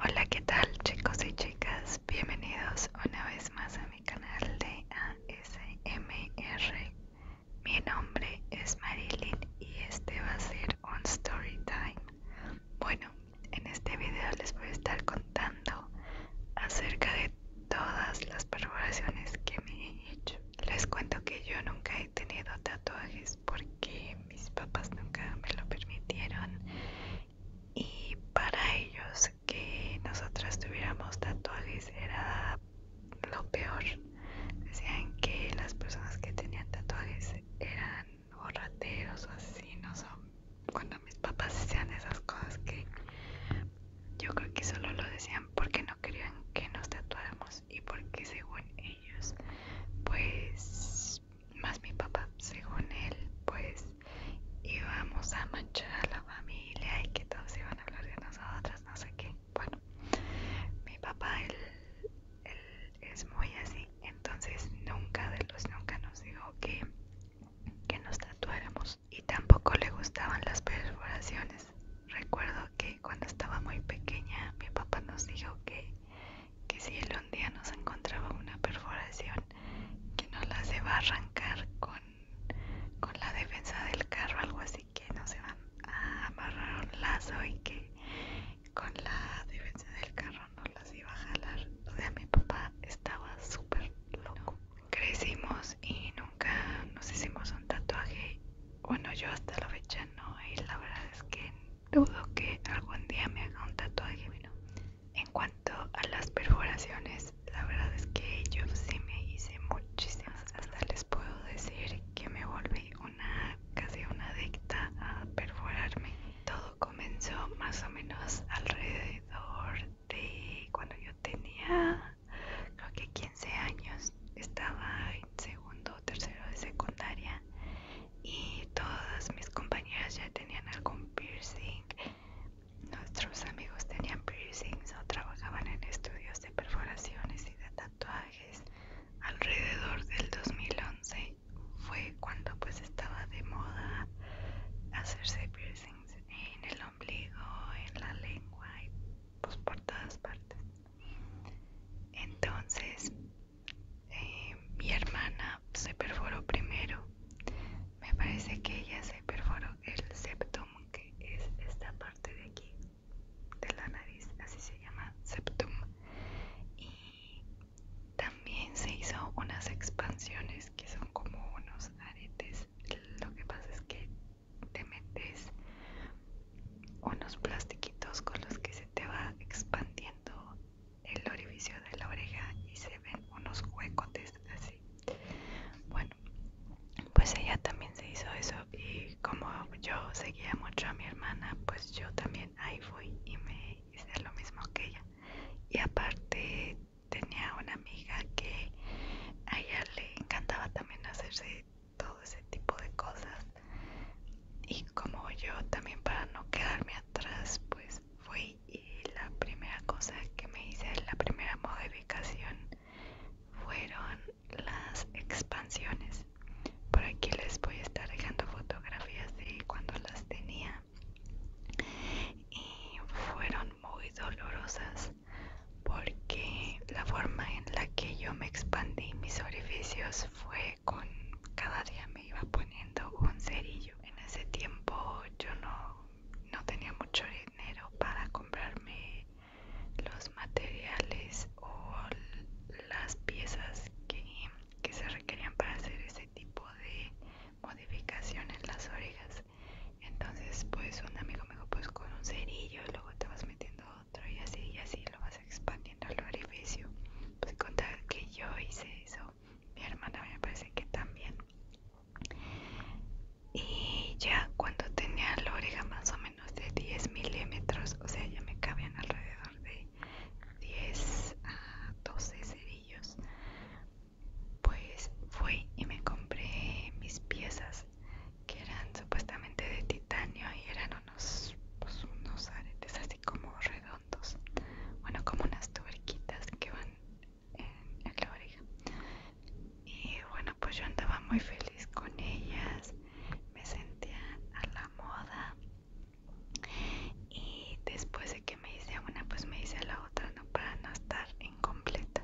Hola, ¿qué tal chicos y chicas? Bienvenidos una vez más a mi canal de ASMR. Mi nombre es Marilyn y este va a ser un story time. Bueno, en este video les voy a estar contando acerca de todas las perforaciones que me he hecho. Les cuento que yo nunca he tenido tatuajes porque mis papás nunca me lo permitieron y para ellos que nosotras tuviéramos tatuajes era lo peor. Decían que las personas que tenían tatuajes eran borrateros o así, no son, cuando mis papás decían esas cosas que yo creo que solo lo decían porque no querían que nos tatuáramos y porque según ellos, pues, más mi papá, según él, pues íbamos a manchar a la familia y que todos iban a hablar de nosotras, no sé qué. Bueno, mi papá, él es muy así, entonces nunca de los nunca nos dijo que que nos tatuáramos y tampoco le gustaban las perforaciones. Recuerdo que cuando estaba muy pequeña mi papá nos dijo que, que si él un día nos encontraba una perforación que no la se va a arrancar con, con la defensa del carro, algo así que no se va a amarrar un lazo y que con la defensa del carro no las iba a jalar. O sea, mi papá estaba súper loco. Crecimos y nunca nos hicimos un tatuaje. Bueno, yo hasta la fecha no, y la verdad es que dudo que algún día me haga un tatuaje. Bueno, en cuanto a las perforaciones, la verdad es que yo sí me hice muchísimas. Hasta les puedo decir que me volví una casi una adicta a perforarme todo comenzó más o menos alrededor de cuando yo tenía creo que 15 años estaba en segundo o tercero de secundaria y todas mis compañeras ya tenían algún piercing nuestros amigos tenían piercings o trabajaban en estudios de perforaciones y de tatuajes alrededor del 2011 fue cuando pues estaba de moda hacerse piercing en, el ombligo, en la lengua y pues por todas partes. Entonces eh, mi hermana se perforó primero. Me parece que ella se perforó el septum, que es esta parte de aquí, de la nariz, así se llama septum. Y también se hizo unas expansiones que son como unos aretes. Lo que pasa es que te metes unos plastiquitos con los que se te va expandiendo el orificio de la oreja y se ven unos huecotes así. Bueno, pues ella también se hizo eso y como yo seguía mucho a mi hermana, pues yo también ahí fui y me hice lo mismo que ella. Y aparte tenía una amiga que a ella le encantaba también hacerse todo ese tipo de cosas y como yo también para no quedarme atrás pues fui y la primera cosa que me hice la primera modificación fueron las expansiones por aquí les voy a estar dejando fotografías de cuando las tenía y fueron muy dolorosas porque la forma en la que yo me expandí mis orificios fue con cada día me iba poniendo un cerillo en ese tiempo yo no, tenía mucho dinero para comprarme los materiales o las piezas que, que se requerían para hacer ese tipo de modificación en las orejas entonces, pues un amigo me dijo, pues con un cerillo, luego te vas metiendo otro y así y así lo vas expandiendo al orificio. Pues con tal que yo hice eso, mi hermana me parece que también. Y ya cuando tenía la oreja más o menos de 10 milímetros, o sea, ya me cabían alrededor de 10 a 12 cerillos pues fui y me compré mis piezas que eran supuestamente de titanio y eran unos, pues, unos aretes así como redondos, bueno como unas tuberquitas que van en, la oreja y bueno pues yo andaba muy feliz con ellas, me sentía a la moda y después de que me hice una pues me hice la otra para no estar incompleta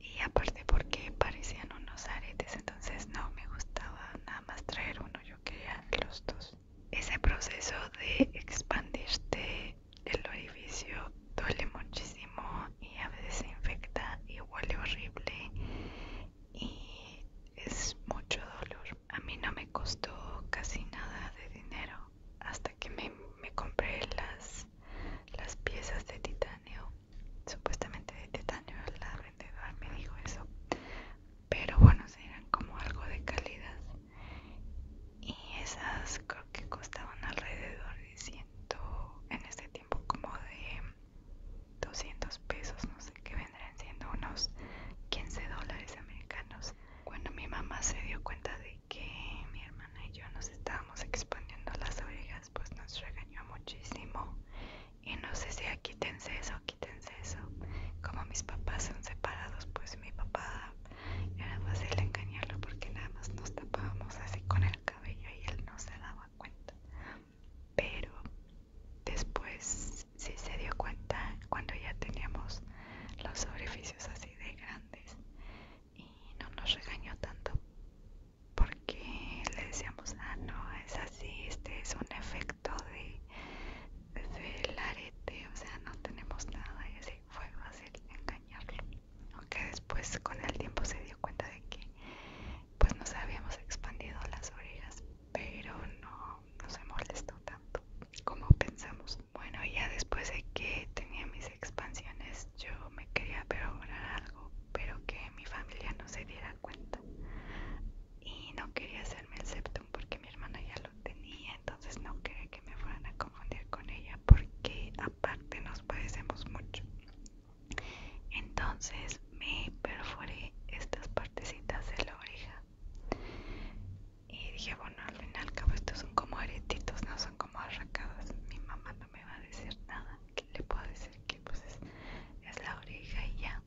y aparte porque parecían unos aretes entonces no me gustaba nada más traer uno yo quería los dos ese proceso de expandirte el orificio duele muchísimo y a veces se infecta y huele horrible y es mucho dolor a mí no me costó casi nada de dinero hasta que me, compré las, las piezas de titanio supuestamente de titanio la vendedora me dijo eso pero bueno eran como algo de calidad y esas creo que costaban alrededor de ciento, en este tiempo como de 200 pesos no sé qué vendrían siendo unos 15 dólares americanos cuando mi mamá se dio cuenta de que mi hermana y yo nos estábamos expandiendo las orejas, pues nos regañó muchísimo. Y nos decía, quítense eso, quítense eso. Como mis papás son separados, pues mi papá era fácil engañarlo porque nada más nos tapábamos así con el cabello y él no se daba cuenta. Pero después sí se dio cuenta cuando ya teníamos los orificios así de grandes y no nos regañó tanto porque le decíamos ah no es así este es un efecto de del arete o sea no tenemos nada y así fue fácil engañarlo aunque después con el tiempo se dio cuenta de que pues nos habíamos expandido las orejas pero no, nos molestó tanto como pensamos. Bueno, ya después de que tenía mis expansiones, yo me quería perforar algo, pero que mi familia no se diera cuenta. Y no quería hacerme el septum porque mi hermana ya lo tenía, entonces no quería que me fueran a confundir con ella porque aparte nos parecemos mucho. Entonces me perforé estas partecitas de la oreja y dije, bueno, al fin y al cabo estos son como aretitos, no son como arracadas. Mi mamá no me va a decir nada. ¿Qué le puedo decir? Que pues es, es la oreja y ya,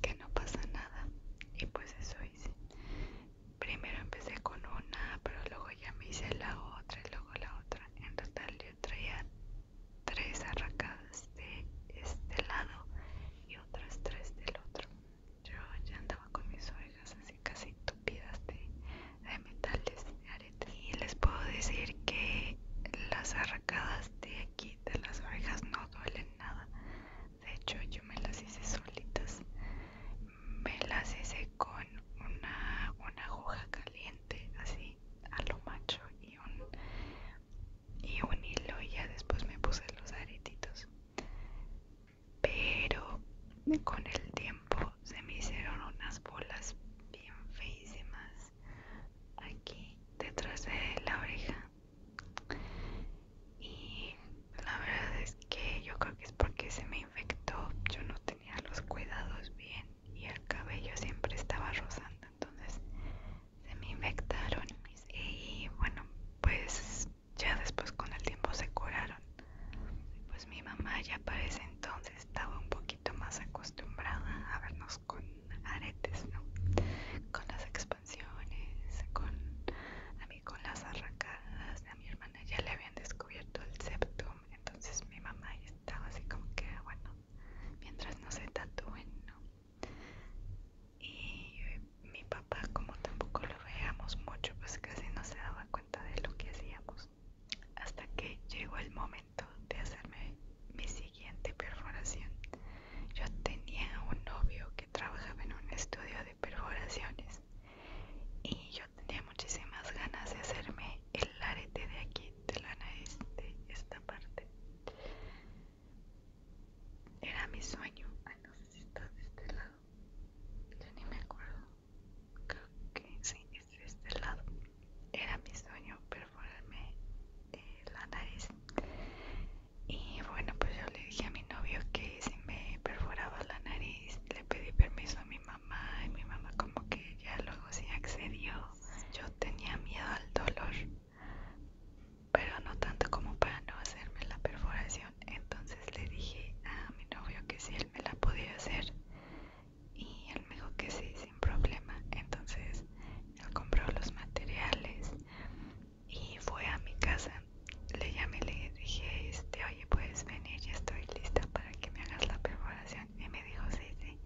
que no pasa nada. Y pues eso hice. Primero empecé con una, pero luego ya me hice la otra y luego la otra. En total yo traía tres arracadas de este lado y otras tres del otro. Yo ya andaba con mis orejas así casi tupidas de, metales, de aretes. Y les puedo decir que las arrancadas de aquí, de las orejas, no duelen nada. De hecho, yo me las hice solitas. Me las hice con una, aguja caliente, así a lo macho y un, y un hilo y ya después me puse los aretitos pero con el tiempo se me hicieron unas bolas bien feísimas aquí detrás de la oreja y la verdad es que yo creo que es porque se me infectó yo no tenía los cuidados bien y el cabello siempre estaba rozando entonces se me infectaron y bueno pues ya después con el tiempo se curaron. Pues mi mamá ya para ese entonces estaba un poquito más acostumbrada a vernos con aretes, ¿no? Con las expansiones, con a mí con las arracadas, a mi hermana ya le habían descubierto el septum, entonces mi mamá estaba así como que, bueno, mientras no se tatúen, ¿no? Y mi papá, como tampoco lo veíamos mucho, pues casi no se daba cuenta de lo que hacíamos hasta que llegó el momento de hacerme mi siguiente perforación. Yo tenía un novio que trabajaba en un estudio de perforaciones y yo tenía muchísimas ganas de hacerme el arete de aquí, de la nariz, de esta parte. Era mi sueño. Ay, no sé si está de este lado. yo ni me acuerdo creo que sí, es este lado. Era mi sueño perforarme eh, la nariz. Y bueno, pues yo le dije a mi novio que si me perforaba la nariz, le pedí permiso a mi mamá y mi mamá como que ya luego sí accedió. Yo tenía miedo al dolor, pero no tanto como para no hacerme la perforación entonces le dije a mi novio que si él me la podía hacer y él me dijo que sí sin problema entonces él compró los materiales y fue a mi casa le llamé y le dije este oye puedes venir ya estoy lista para que me hagas la perforación y me dijo sí sí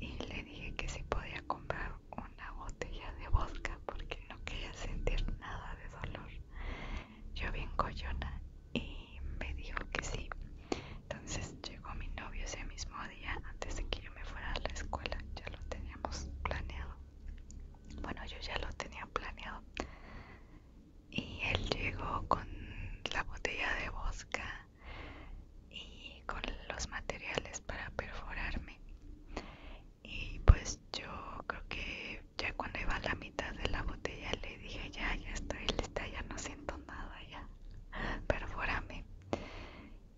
y le dije que si podía comprar una botella de vodka porque no quería sentir nada de dolor yo bien collona y me dijo que sí. Entonces llegó mi novio ese mismo día, antes de que yo me fuera a la escuela, ya lo teníamos planeado. Bueno, yo ya lo tenía planeado. Y él llegó con la botella de bosca y con los materiales para perforarme. Y pues yo creo que ya cuando iba a la mitad de la botella le dije ya, ya estoy lista, ya no siento nada, ya, perfórame.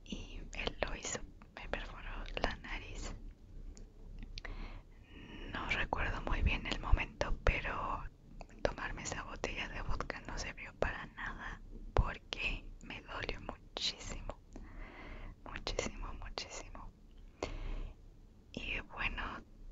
Y él lo hizo, me perforó la nariz. No recuerdo muy bien el momento, pero tomarme esa botella de vodka no sirvió para nada porque me dolió muchísimo, muchísimo, muchísimo y bueno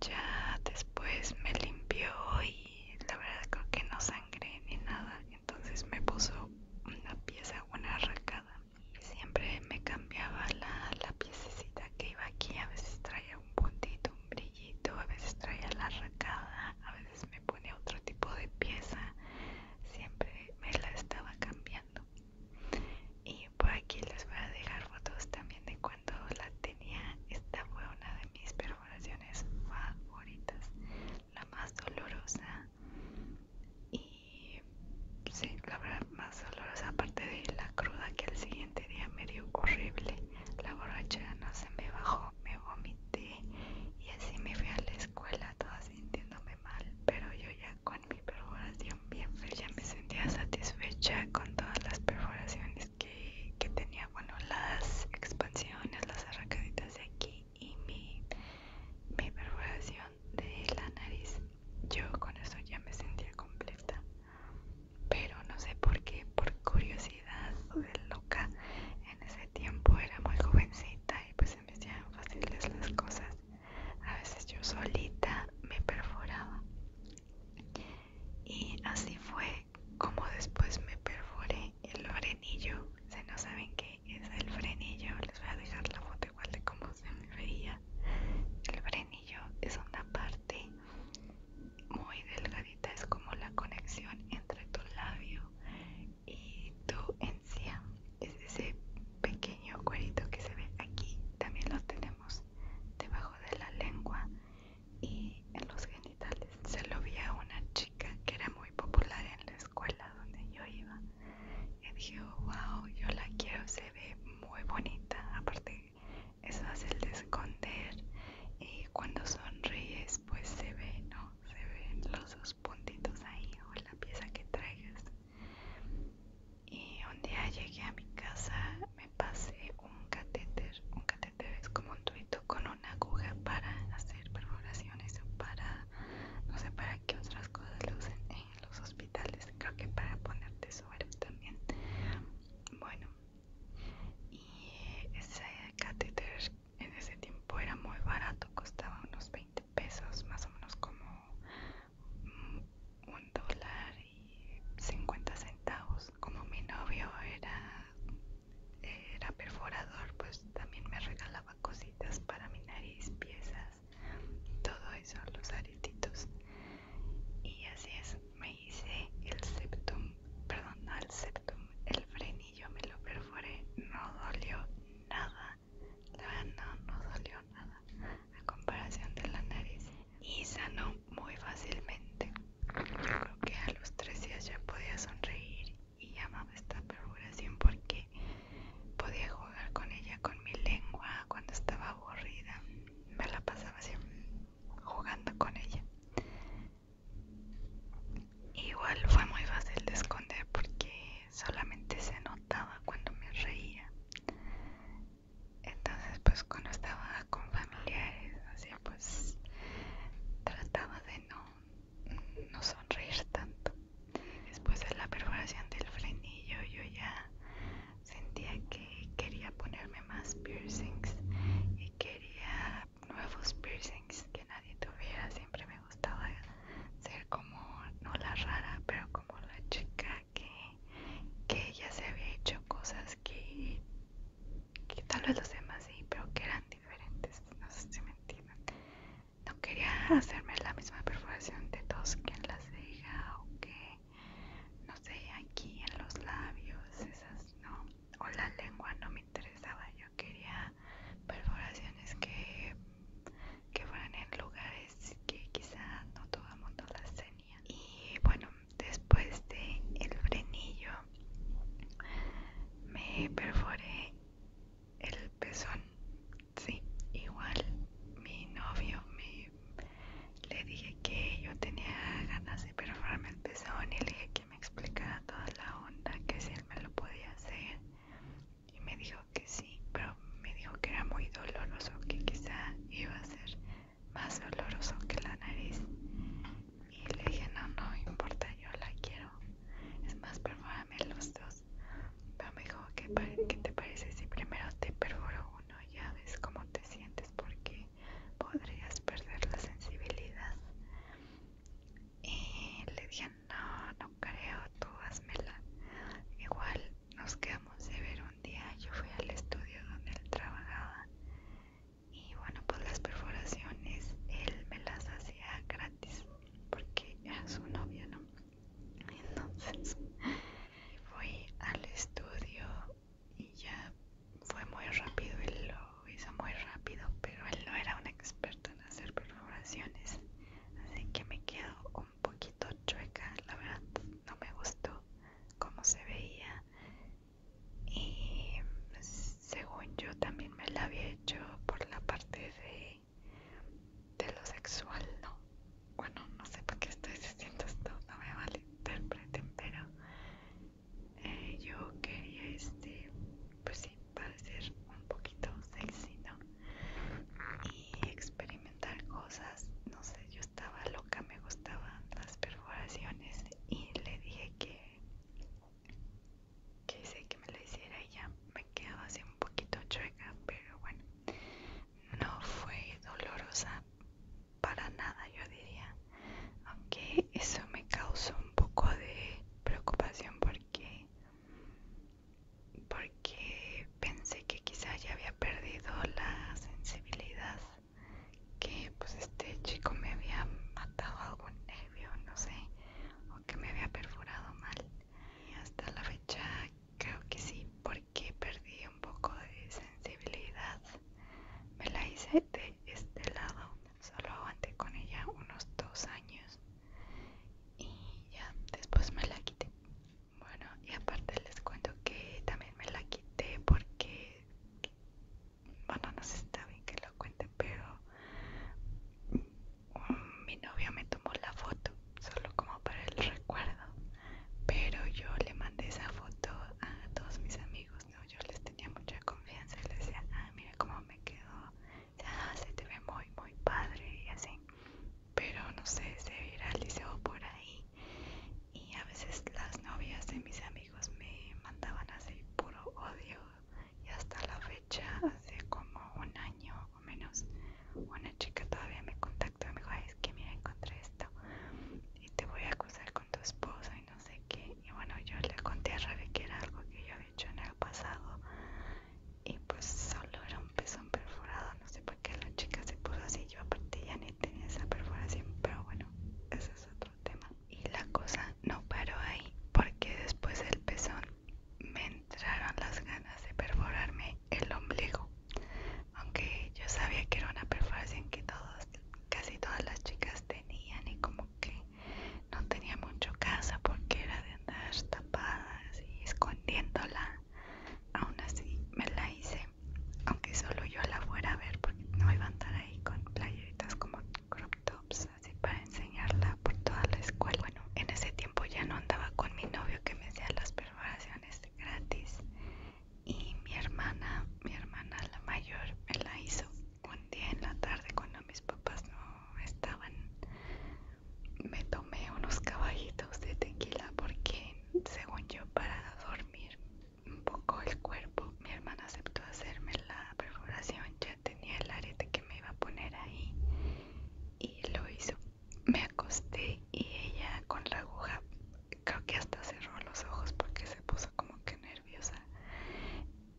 ya después me limpió y la verdad creo que no sangré ni nada entonces me puso una pieza una arracada siempre me cambiaba la, la piececita que iba aquí a veces traía un puntito un brillito a veces traía la arracada a veces me ponía otro tipo de pieza siempre me la estaba cambiando y por aquí les voy a dejar fotos también de cuando la tenía, esta fue una de mis perforaciones favoritas, la más dolorosa y sí, la verdad más dolorosa aparte de la cruda que el siguiente día me dio horrible, la borracha no se me bajó, me vomité y así me fui a la escuela toda sintiéndome mal, pero yo ya con mi perforación bien, ya me sentía satisfecha con todas las perforaciones que, tenía, bueno, las expansiones, las arracaditas de aquí y mi, mi perforación de la nariz. Yo con eso ya me sentía completa, pero no sé por qué, por curiosidad o de loca, en ese tiempo era muy jovencita y pues se me hacían fáciles las cosas. A veces yo solita me perforaba y así fue como después me perforé el frenillo se no saben qué es el frenillo les voy a dejar la foto igual de cómo se me veía el frenillo es una parte muy delgadita es como la conexión entre tu labio y tu encía es ese pequeño cuerito que se ve aquí también lo tenemos debajo de la lengua y en los genitales. Se lo vi a una chica que era muy popular en la escuela donde yo iba. Y dije, wow, yo la quiero, se ve muy bonita. Aparte, es fácil de esconder. Y cuando sonríes, pues se ve, ¿no? Se ven los dos puntitos ahí o la pieza que traigas y un día llegué a mi casa, me pasé un catéter, un catéter es como un tubito con una aguja para hacer perforaciones o para, no sé para qué otras cosas lo usan en los hospitales, creo que para ponerte suero también. Bueno, y ese catéter en ese tiempo era muy barato, costaba unos 20 pesos, más o menos como un dólar 50 centavos como mi novio era era perforador pues también me regalaba cositas para mi nariz piezas todo eso los aretitos y así es me hice el septum perdón no el septum el frenillo me lo perforé no dolió nada no, no dolió nada a comparación de la nariz y sanó muy fácilmente. Yo creo que a los tres días ya podía sonreír y amaba esta perforación porque podía jugar con ella con mi lengua cuando estaba aburrida. Me la pasaba así jugando con ella. Igual fue muy fácil de esconder porque solamente se notaba cuando me reía entonces pues cuando estaba con familiares así pues trataba de no, no sonreír tanto después de la perforación del frenillo yo ya sentía que quería ponerme más piercings y quería nuevos piercings que nadie tuviera siempre me gustaba ser como no la rara pero como la chica que, que ella se había hecho cosas que, que tal vez los demás sí, pero que eran diferentes, no sé si me entienden. No quería hacerme la misma perforación de dos que en la ceja o que, no sé, aquí en los labios, esas no, o la lengua no me interesaba, yo quería perforaciones que, que fueran en lugares que quizá no todo el mundo las tenía. Y bueno, después de el frenillo me perforé el pezón sí igual mi novio me le dije que yo tenía ganas de perforarme el pezón y le dije que me explicara toda la onda que si él me lo podía hacer y me dijo que sí pero me dijo que era muy doloroso que quizá iba a ser más doloroso que la nariz y le dije no, no importa, yo la quiero es más, perfórame los dos pero me dijo, ¿qué, te parece si primero te perforo uno? ya ves cómo te sientes porque podrías perder la sensibilidad y le dije, no, no creo, tú hazmela igual nos quedamos de ver un día yo fui al estudio donde él trabajaba y bueno pues las perforaciones él me las hacía gratis porque era su novia no entonces fui al estudio y ya fue muy rápido él lo hizo muy rápido pero él no era un experto en hacer perforaciones así que me quedo un poquito chueca la verdad no me gustó cómo se veía y mm, según yo también me la había hecho por la parte de, lo sexual, ¿no? Bueno, no sé por qué estoy diciendo esto, no me vale interpreten, pero eh, yo quería este, pues sí, parecer un poquito sexy, ¿no? Y experimentar cosas, no sé, yo estaba Nunca me gustaban las perforaciones y le dije que que que me la hiciera y ya me quedaba así un poquito chueca pero bueno no fue dolorosa para nada yo diría aunque eso me causó un poco de preocupación porque porque pensé que quizá ya había perdido la sensibilidad que pues este chico me había matado algún nervio, no sé, o que me había perforado mal. Y hasta la fecha creo que sí, porque perdí un poco de sensibilidad. Me la hice de este lado, solo aguanté con ella unos dos años y ya después me la quité. Bueno, y aparte les cuento que también me la quité porque bueno, no sé si está bien que lo cuente, pero mm, mi novia me tomó la foto solo como para el recuerdo, pero yo le mandé esa foto a todos mis amigos, Yo les tenía mucha confianza y les decía, ah, mira cómo me quedó, se te ve muy, muy padre y así, pero no sé, se viralizó por ahí y a veces las novias de mis amigos me mandaban así puro odio y hasta la fecha hace como un año o menos una chica todavía me contactó y me dijo es que mira encontré esto y te voy a acusar con tu esposo y no sé qué y bueno yo le conté a Rebe que era algo que yo había hecho en el pasado y pues solo era un pezón perforado no sé por qué la chica se puso así yo aparte ya ni tenía esa perforación pero bueno eso es otro tema. Y la cosa no paró ahí porque después del pezón me entraron las ganas de perforarme el ombligo. Aunque yo sabía que era una perforación que casi todas las chicas tenían y como que no tenía mucho casa porque era de andar tapadas y escondiéndola. Aún así me la hice aunque solo yo la fuera a ver porque no iba a estar ahí con playeritas como crop tops, así para enseñarla por toda la escuela. Bueno, en ese tiempo ya no andaba con mi novio que me hacía las preparaciones gratis y mi hermana, mi hermana la mayor, me la hizo un día en la tarde cuando mis papás no estaban. Me tomé unos caballitos de tequila porque según yo para dormir un poco el cuerpo. Mi hermana aceptó hacerme la perforación, ya tenía el arete que me iba a poner ahí y lo hizo. Me acosté y ella con la aguja, creo que hasta cerró los ojos porque se puso como que nerviosa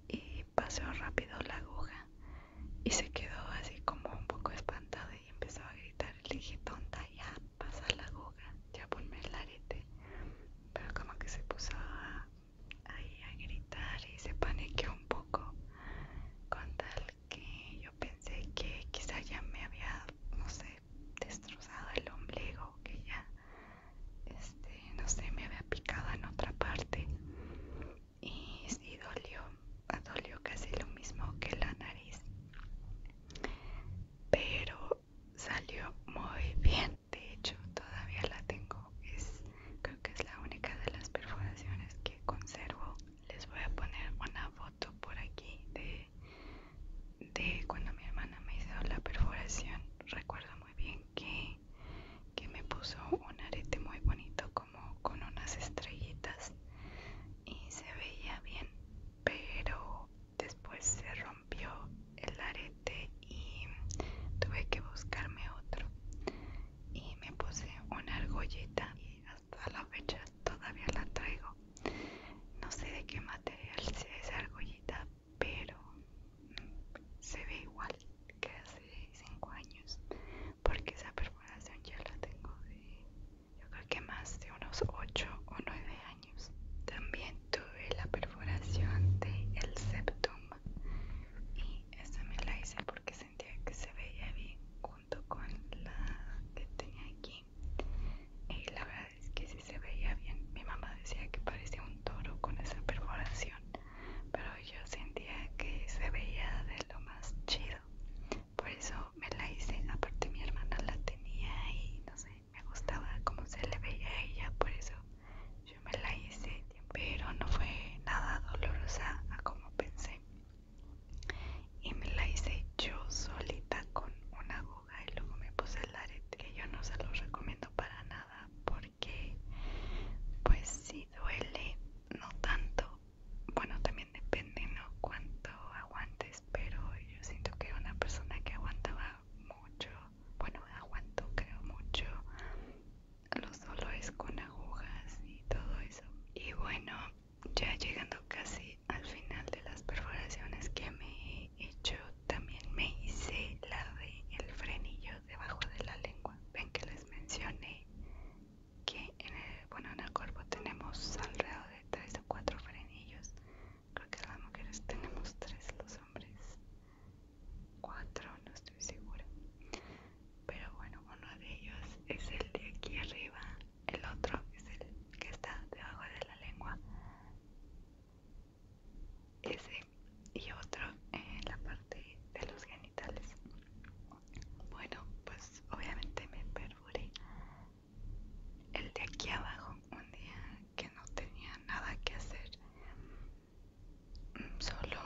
y pasó rápido la aguja y se quedó así como un poco espantada y empezó a gritar. Le dije, tonta, ya pasa la aguja, ya ponme el arete pero como que se puso ahí a gritar y se paniqueó un poco con tal que yo pensé que quizá ya me había, no sé, destrozado el ombligo, que ya, este, no sé, me había picado en otra parte y sí dolió, dolió casi lo mismo que la nariz, pero salió muy bien, de hecho todavía la tengo creo que es la única de las perforaciones que conservo les voy a poner una foto por aquí de, cuando mi hermana me hizo la perforación recuerdo muy bien que, que me puso un arete muy bonito como con unas estrellitas y se veía bien pero después se rompió el arete y tuve que buscarme otro y me puse una argollita y hasta la fecha todavía la traigo no sé de qué material sea esa argollita pero se ve igual que hace 5 años porque esa perforación ya la tengo de yo creo que más de unos 8 o 9 también tuve la perforación del el septum y esa me la hice porque sentía que se veía bien junto con la que tenía aquí. Y la verdad es que sí se veía bien. Mi mamá decía que parecía un toro con esa perforación, pero yo sentía que se veía de lo más chido. Por eso me la hice. Aparte mi hermana la tenía y no sé, me gustaba cómo se le veía a ella, por eso yo me la hice, pero no fue nada dolorosa a como pensé. Y me la hice yo solita con una aguja y luego me puse el arete, que yo no se lo recomiendo para nada porque pues si duele, no tanto. Bueno, también depende, ¿no? Cuánto aguantes, pero yo siento que una persona que aguantaba mucho, bueno, aguanto creo mucho los dolores con agujas y todo eso. Y bueno, ya llegando casi al final de las perforaciones que me he hecho, también me hice la de el frenillo debajo de la lengua. Ven que les mencioné que en el, bueno, en el cuerpo tenemos alrededor de 3 o 4 frenillos creo que las mujeres tenemos tres, los hombres cuatro, no estoy segura. Pero bueno, uno de ellos es el de aquí arriba, el otro es el que está debajo de la lengua, ese y otro en la parte de los genitales. Bueno, pues obviamente me perforé el de aquí abajo un día que no tenía nada que hacer. Solo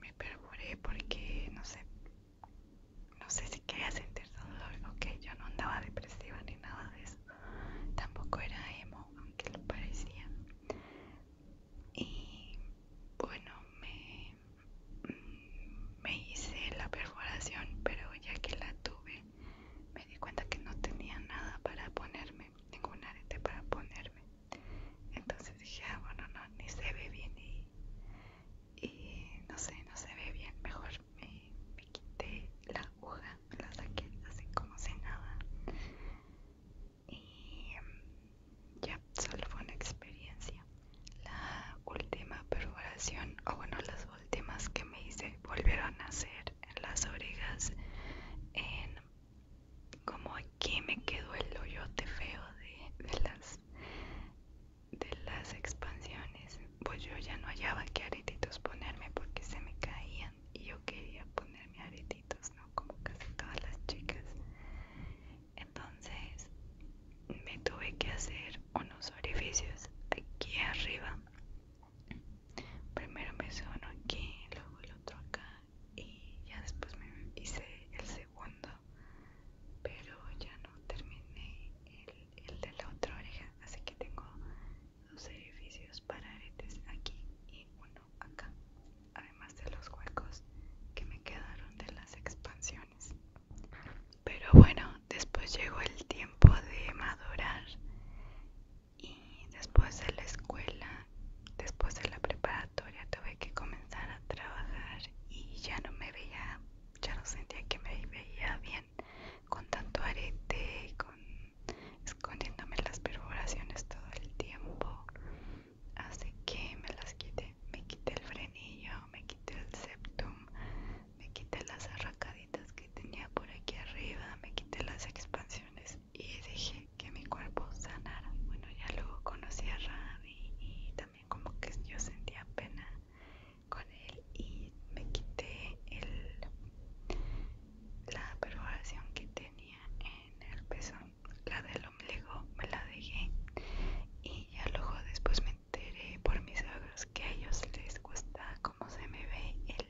me perforé porque no sé, no sé si quería sentir dolor. que yo no andaba depresiva ni nada de eso. Tampoco era emo, aunque lo parecía. Y bueno, me, me hice la perforación, pero ya que la tuve, me di cuenta que no tenía nada para ponerme ningún arete para ponerme. Entonces dije, ah, bueno, no, ni se ve bien y, no sé, no se ve bien. Mejor me, quité la aguja, la saqué así como si nada. Y em, ya, solo fue una experiencia. La última perforación, o bueno, las últimas que me hice volvieron a hacer en las orejas en como aquí me quedó el hoyote feo de, las de las expansiones pues yo ya no hallaba que aretitos ponerme porque se me caían y yo quería ponerme aretitos no como casi todas las chicas entonces me tuve que hacer unos orificios aquí arriba primero me uno aquí, luego el otro acá y ya después me hice el segundo pero ya no terminé el, el de la otra oreja así que tengo dos edificios para aretes aquí y uno acá además de los huecos que me quedaron de las expansiones pero bueno después llegó el tiempo de madurar y después de la escuela, después de la preparatoria tuve que comenzar a trabajar y ya no me veía, ya no sentía que me veía bien con tanto arete, con escondiéndome las perforaciones todo el tiempo. Así que me las quité, me quité el frenillo, me quité el septum, me quité las arracaditas que tenía por aquí arriba, me quité las expansiones y dejé que mi cuerpo sanara. Bueno, ya luego conocí a rabi y, también como que yo sentía pena con él y me quité la perforación que tenía en el pezón, la del ombligo me la dejé y ya luego después me enteré por mis ojos que a ellos les gusta cómo se me ve el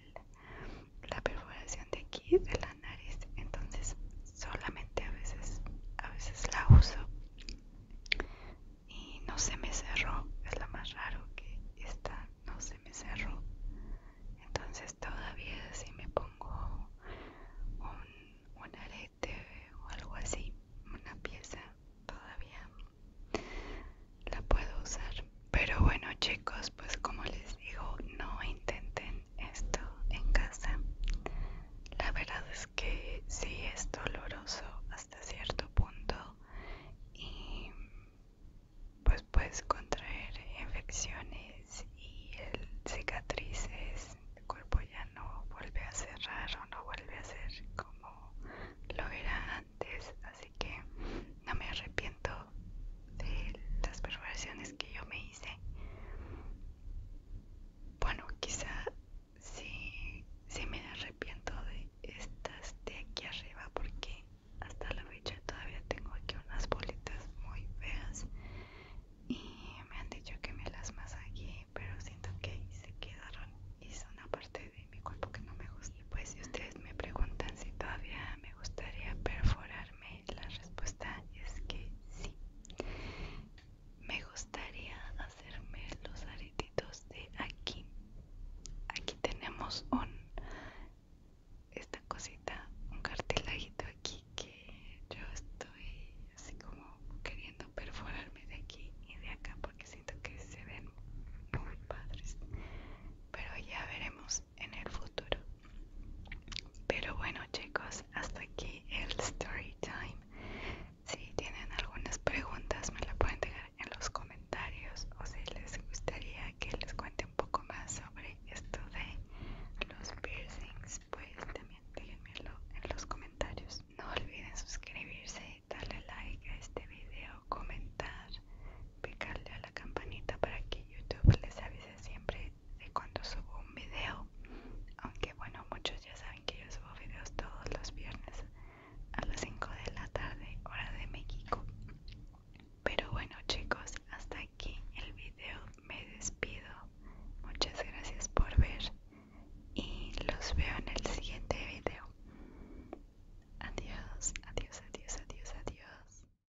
la perforación de aquí de la nariz entonces solamente a veces a veces la uso y no se me cerró es lo más raro que está no se me cerró entonces todavía si me pongo un, un arete o algo así una pieza todavía la puedo usar pero bueno chicos, pues como les digo, no intenten esto en casa. La verdad es que sí es doloroso hasta cierto punto y pues puedes contraer infecciones y cicatrices, el cuerpo ya no vuelve a cerrar o no vuelve a ser como lo era antes, así que no me arrepiento de las perforaciones que yo me hice bueno quizá Si me arrepiento de estas de aquí arriba porque hasta la fecha todavía tengo aquí unas bolitas muy feas y me han dicho que me las aquí, pero siento que se quedaron y son una parte de mi cuerpo que no me gusta pues si ustedes me preguntan si todavía me gustaría perforar la respuesta es que sí. Me gustaría hacerme los aretitos de aquí. Aquí tenemos un esta cosita, un cartilajito aquí que yo estoy así como queriendo perforarme de aquí y de acá porque siento que se ven muy padres. Pero ya veremos en el futuro. Pero bueno chicos, hasta aquí el story time. Si tienen algunas preguntas me la pueden dejar en los comentarios o si les gustaría que les cuente un poco más sobre esto de los piercings, pues también déjenmelo en los comentarios. No olviden suscribirse, darle like a este video, comentar picarle a la campanita para que YouTube les avise siempre de cuando subo un video. Aunque bueno, muchos ya saben que yo subo videos todos los viernes a las 5 de la tarde, hora de México. Pero bueno chicos, hasta aquí el video. Me despido. Muchas gracias por ver y los veo en el siguiente video. Adiós, adiós, adiós, adiós, adiós.